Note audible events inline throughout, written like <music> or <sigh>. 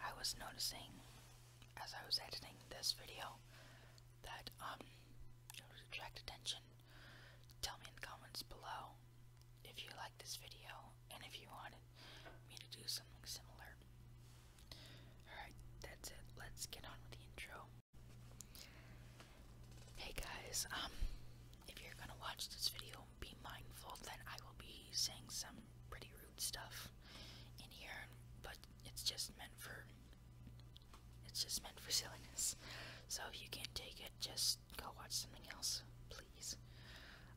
I was noticing as I was editing this video that um attract attention. Tell me in the comments below if you like this video and if you want me to do something similar. Alright, that's it. Let's get on with the intro. Hey guys, um if you're gonna watch this video, be mindful that I will be saying some pretty rude stuff in here, but it's just meant for it's just meant for silliness. So if you can't take it, just go watch something else, please.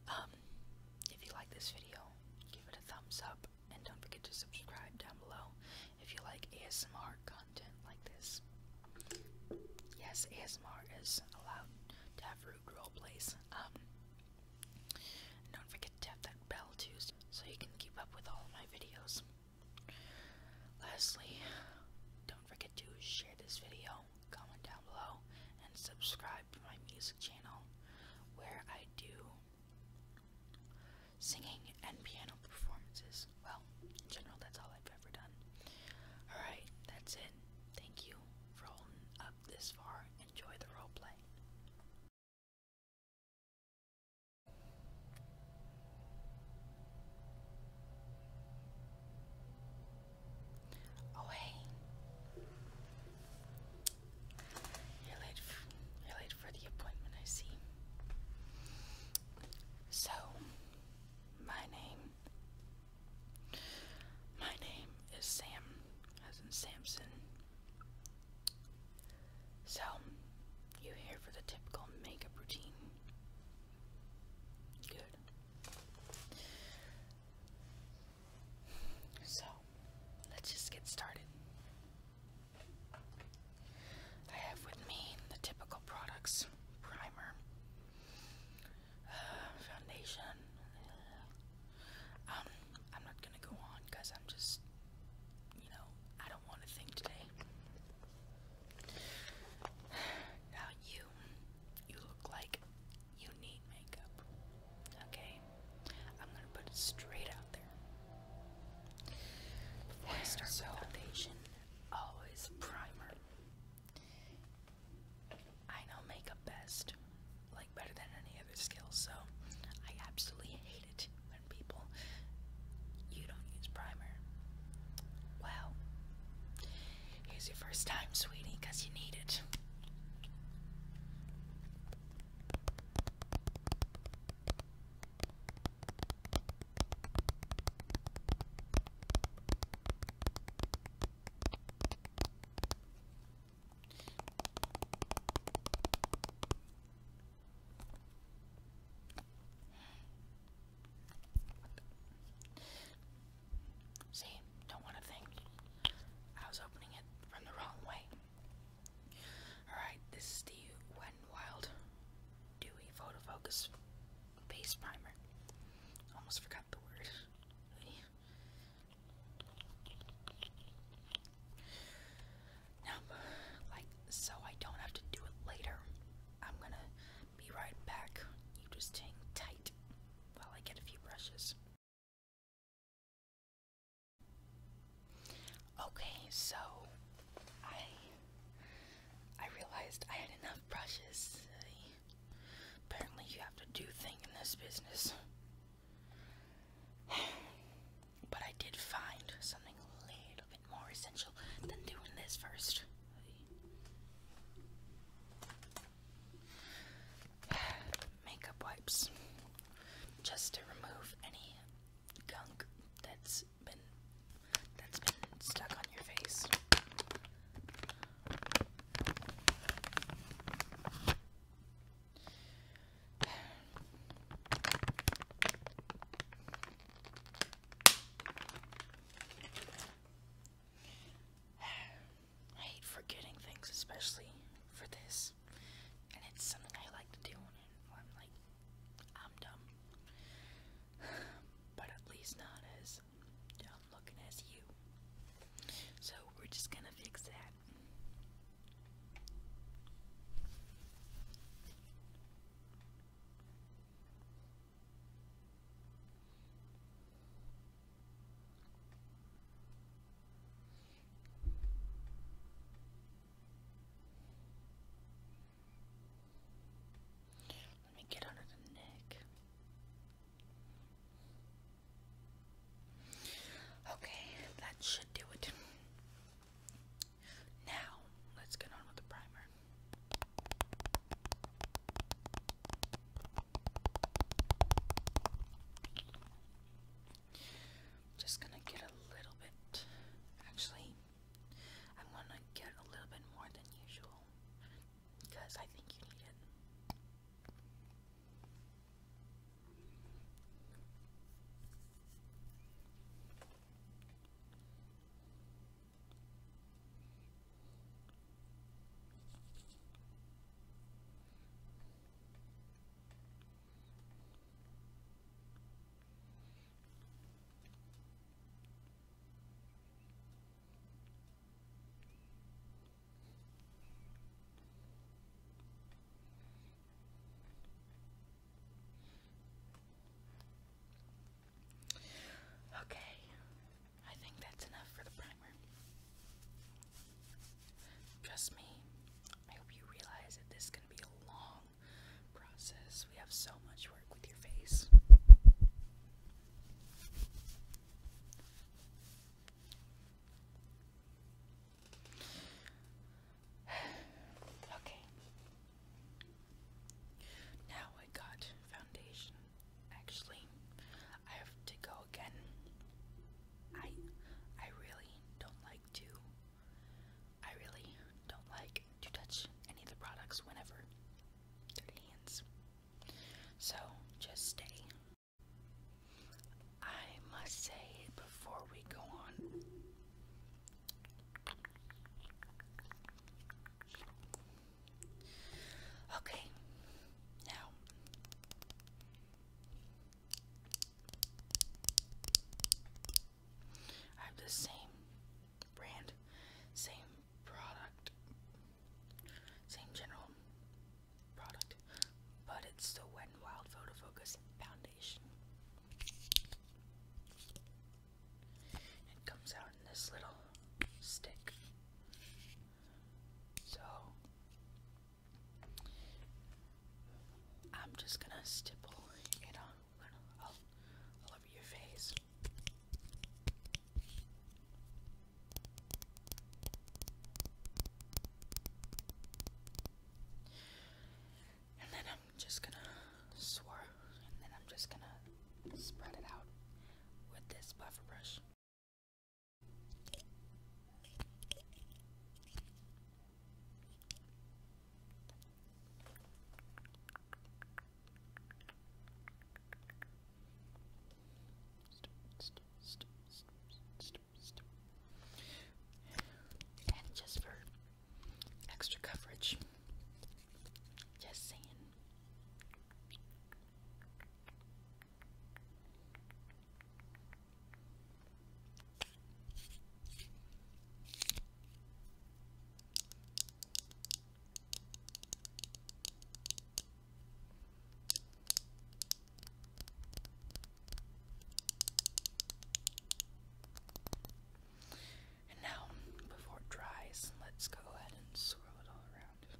Um, if you like this video, give it a thumbs up, and don't forget to subscribe down below if you like ASMR content like this. Yes, ASMR is allowed to have rude role plays. Um, don't forget to tap that bell too so you can keep up with all my videos. Lastly, don't forget to share this video, comment down below, and subscribe to my music channel where I do singing and piano performances. Well, in general, that's all I've ever done. Alright, that's it. Thank you for holding up this far Enjoy the roleplay. Oh hey, you're late. you're late for the appointment, I see. So, my name my name is Sam, as in Samson. So, you here for the typical makeup routine? Good. So, let's just get started. I have with me the typical products primer, <sighs> foundation. <sighs> Um, I'm not gonna go on because I'm just, you know, I don't want to think today. <sighs> Now you, you look like you need makeup. Okay, I'm gonna put it straight out there. Before I start foundation, always primer. I know makeup best, like better than any other skill, so I absolutely hate it when people you don't use primer. Well, here's your first time, sweetie, because you need it. See, don't want to think. I was opening it from the wrong way. Alright, this is the Wet n Wild Dewy Photo Base Primer. Almost forgot the word. Now, like, so I don't have to do it later. I'm gonna be right back. You just hang tight while I get a few brushes. Okay, so I I realized I had enough brushes. Apparently, you have to do things in this business. <sighs> but I did find something a little bit more essential than doing this first. <sighs> Makeup wipes. Just to remove any gunk that's been that's been stuck on your face. <sighs> I hate forgetting things, especially for this. And it's something I like to do I'm like, I'm dumb. <sighs> But at least not as is looking as you. So we're just gonna fix that. Let me get under the neck. Okay, that should do it. Now, let's get on with the primer. Just gonna get a little bit, actually, I'm gonna get a little bit more than usual because I think you need it. Okay, I think that's enough for the primer. Trust me, I hope you realize that this can be a long process. We have so much work with your face. <sighs> okay. Now I got foundation. Actually, I have to go again. I I really don't like to I really don't like to touch any of the products whenever dirty hands. So just stay. I must say before we go on. Okay, now. I have the same brand, same product, same general product, but it's the Wet n Wild Photo Focus Foundation. It comes out in this little stick. So I'm just gonna stipple it on all over your face. And then I'm just gonna swirl, and then I'm just gonna spread it out with this buffer brush. And just for extra coverage, just saying. And now, before it dries, let's go ahead and swirl it all around.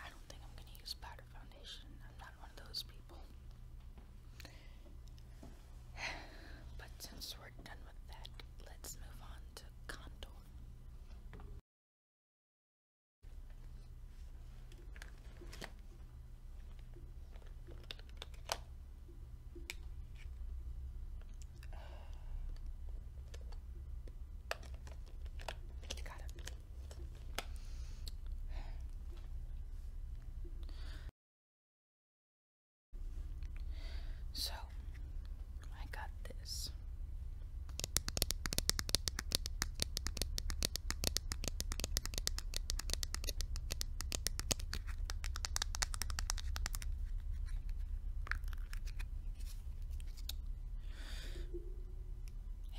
I don't think I'm gonna use powder foundation. I'm not one of those people. <sighs> But since we're done with that, let's move on to contour. Got it. So, I got this.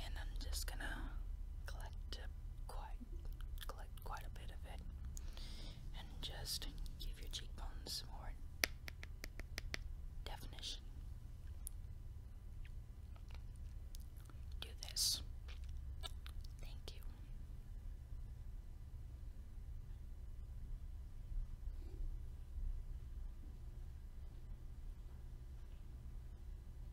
And I'm just gonna collect quite collect quite a bit of it and just give your cheekbones more definition. Do this. Thank you.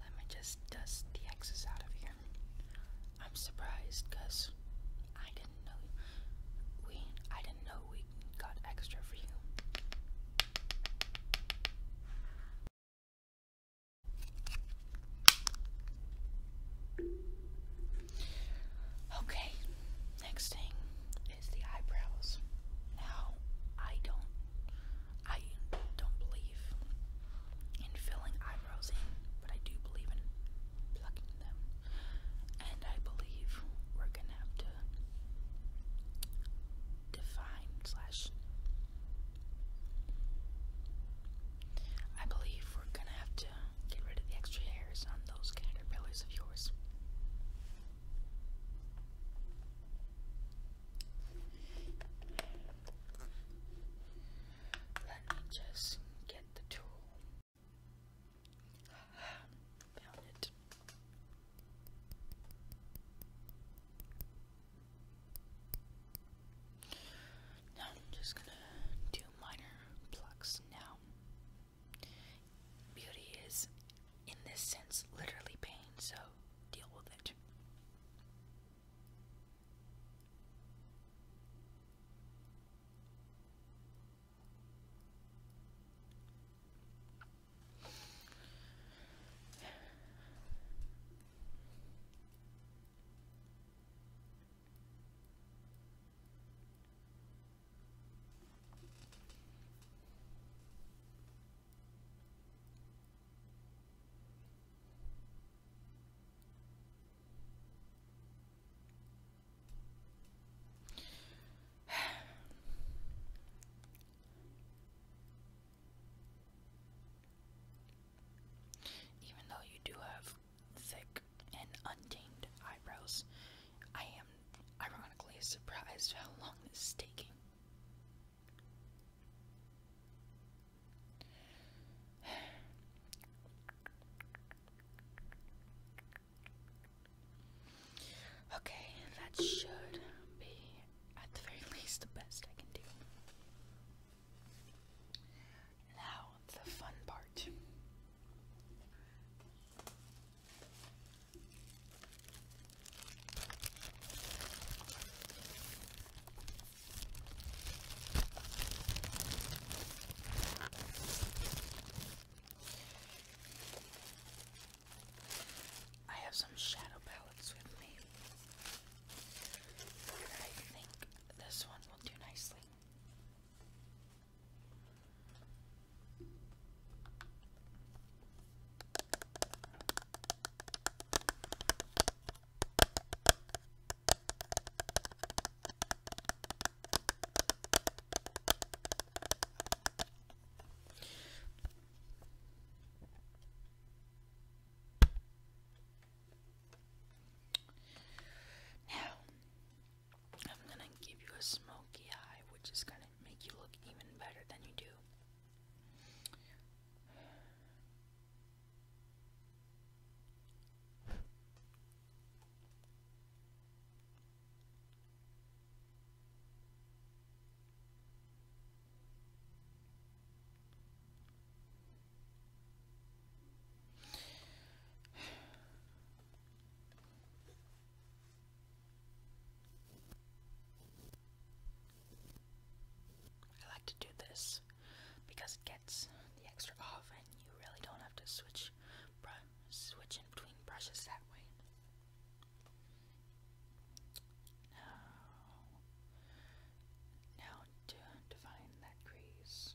Let me just dust the X's out of here. I'm surprised because I didn't know we I didn't know we got extra for you. Okay, next thing is the eyebrows. Now, I don't, I don't believe in filling eyebrows in, but I do believe in plucking them, and I believe we're gonna have to define slash. I believe we're gonna have to get rid of the extra hairs on those caterpillars of yours. Let me just get the tool. Found it. Now I'm just gonna do minor plucks now. Beauty is, in this sense, literally pain, so deal with it. <sighs> Even though you do have thick and untamed eyebrows, I am ironically surprised how long this is taking. <sighs> Okay, that should be at the very <laughs> least the best I can do. Now, the fun part. I have some shadow palettes with me. I think this one will do nicely. Now, I'm going to give you a smoky eye, which is going make you look even better than you do. I like to do this because it gets the extra off and you really don't have to switch switch in between brushes that way. Now, now to define that crease.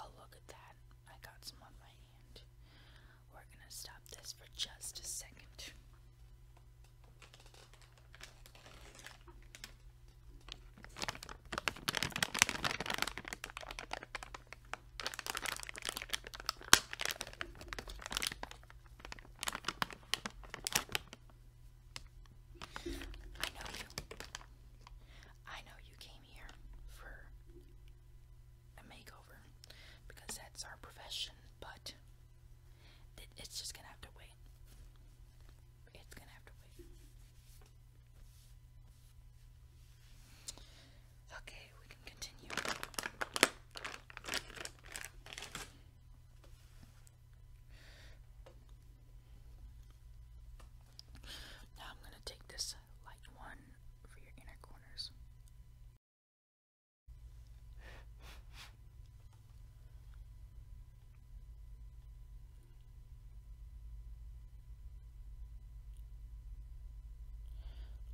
Oh, look at that. I got some on my hand. We're gonna stop this for just a second. I know you. I know you came here for a makeover because that's our profession, but it's just gonna have to wait. It's gonna have to wait. Okay, we can continue. Now I'm going to take this light one for your inner corners.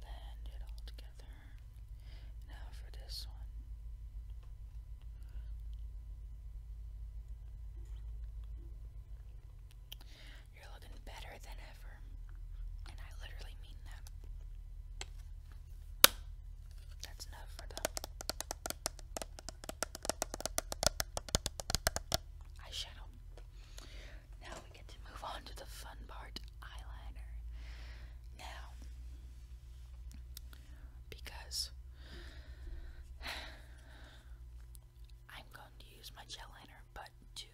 Blend it all together. Now for this one. You're looking better than ever. And I literally mean that. That's enough for the eyeshadow. Now we get to move on to the fun part eyeliner. Now, because I'm going to use my gel liner, but to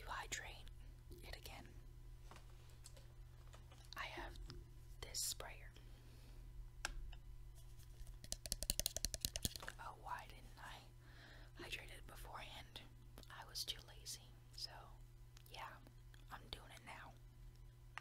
to hydrate it again, I have this sprayer. Oh, why didn't I hydrate it beforehand? I was too lazy. So, yeah, I'm doing it now.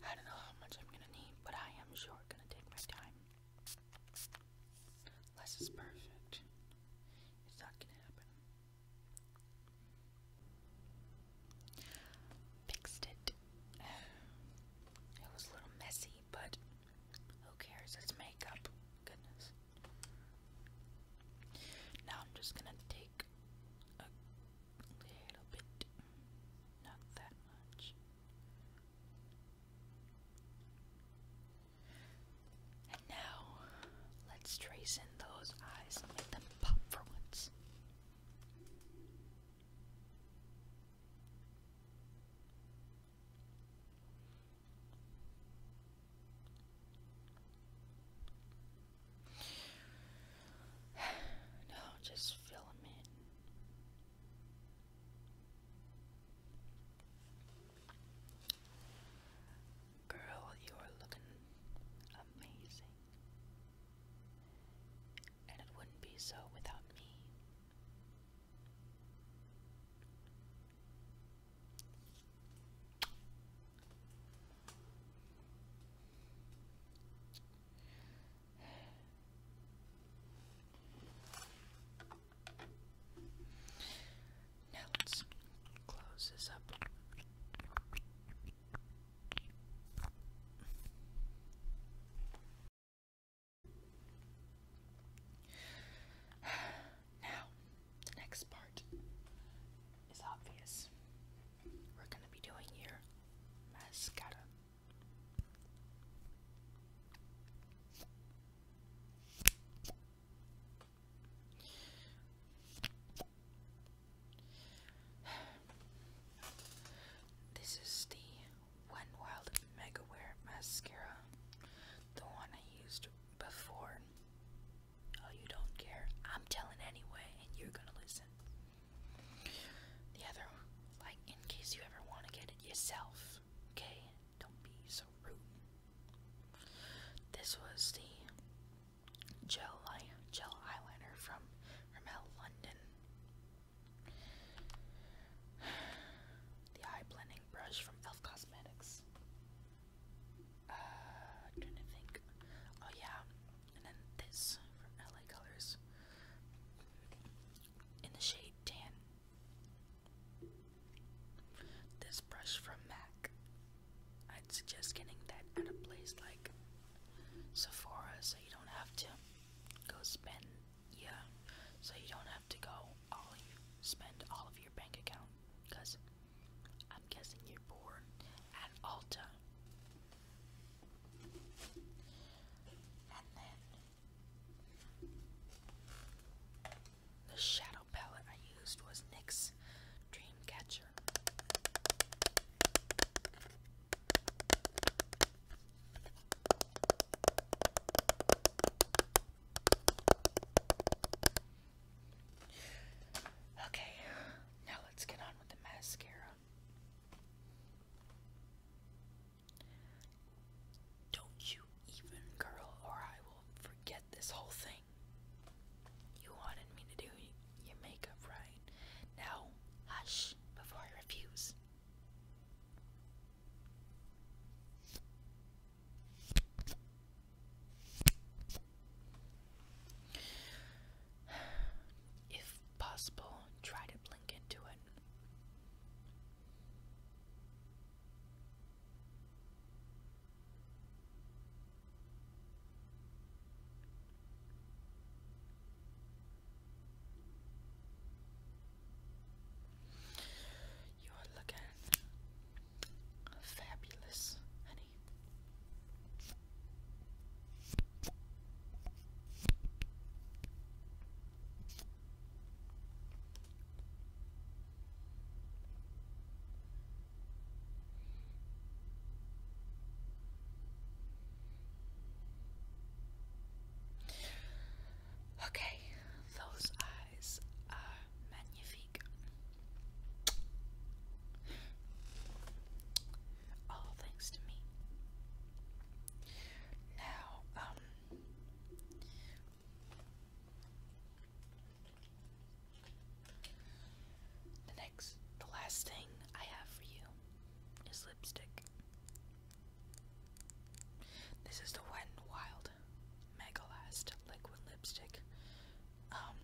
I don't know how much I'm gonna need, but I am sure gonna take my time. Less is perfect. It's not gonna happen. Fixed it. <sighs> It was a little messy, but who cares? It's makeup. Goodness. Now I'm just gonna take a little bit, not that much. And now, let's trace in those eyes and make them pop for once no, just fill them in. Girl, you are looking amazing. And it wouldn't be so without me. Now let's close this up. <sighs> Now, the next part is obvious. We're going to be doing your mascara. <sighs> This is the one Wild Mega Wear Mascara, the one I used before. Oh, you don't care. I'm telling anyway, and you're gonna listen. The other like, in case you ever want to get it yourself, okay? Don't be so rude. This was the gel, eye, gel eyeliner from Rimmel London. <sighs> The eye blending Brush from e.l.f. Cosmetics. Uh, trying to think. Oh, yeah. And then this from LA Colors. In the shade Tan. This brush from MAC. I'd suggest getting that at a place like Sephora so you don't have to go spend, yeah, so you don't have to go all you spend all of your bank account because I'm guessing you're bored at Alta. And then the shadow palette I used was NYX Dreamcatcher. Okay, now let's get on with the mascara. Don't you even curl, or I will forget this whole thing. You wanted me to do your makeup right. Now, hush before I refuse. If possible, try to blink into it. You are looking fabulous, honey. Okay, those eyes are magnifique. All thanks to me. Now, um, the next, the last thing I have for you is lipstick. This is the Wet n Wild Last Liquid Lipstick. Um,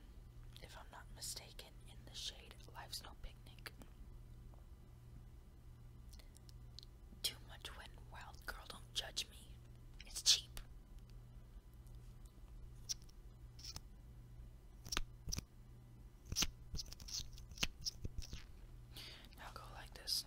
if I'm not mistaken, in the shade Life's No Picnic. Too much Wet n Wild, girl, don't judge me. It's cheap. Now go like this.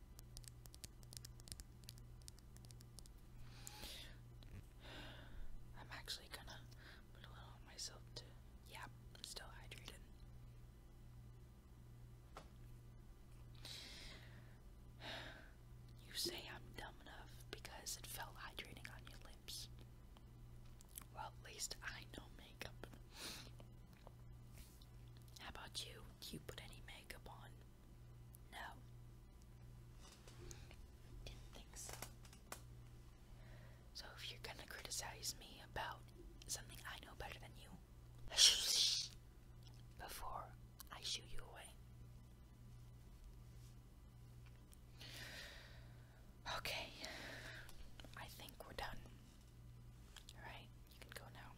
I'm actually gonna put a little on myself Yeah, I'm still hydrated. You say I'm dumb enough because it felt hydrating on your lips. Well, at least I know makeup. How about you? you put any makeup on? No. Didn't think so. So if you're gonna criticize me about something I know better than you, <laughs> before I shoot you away. Okay, I think we're done. Alright, you can go now.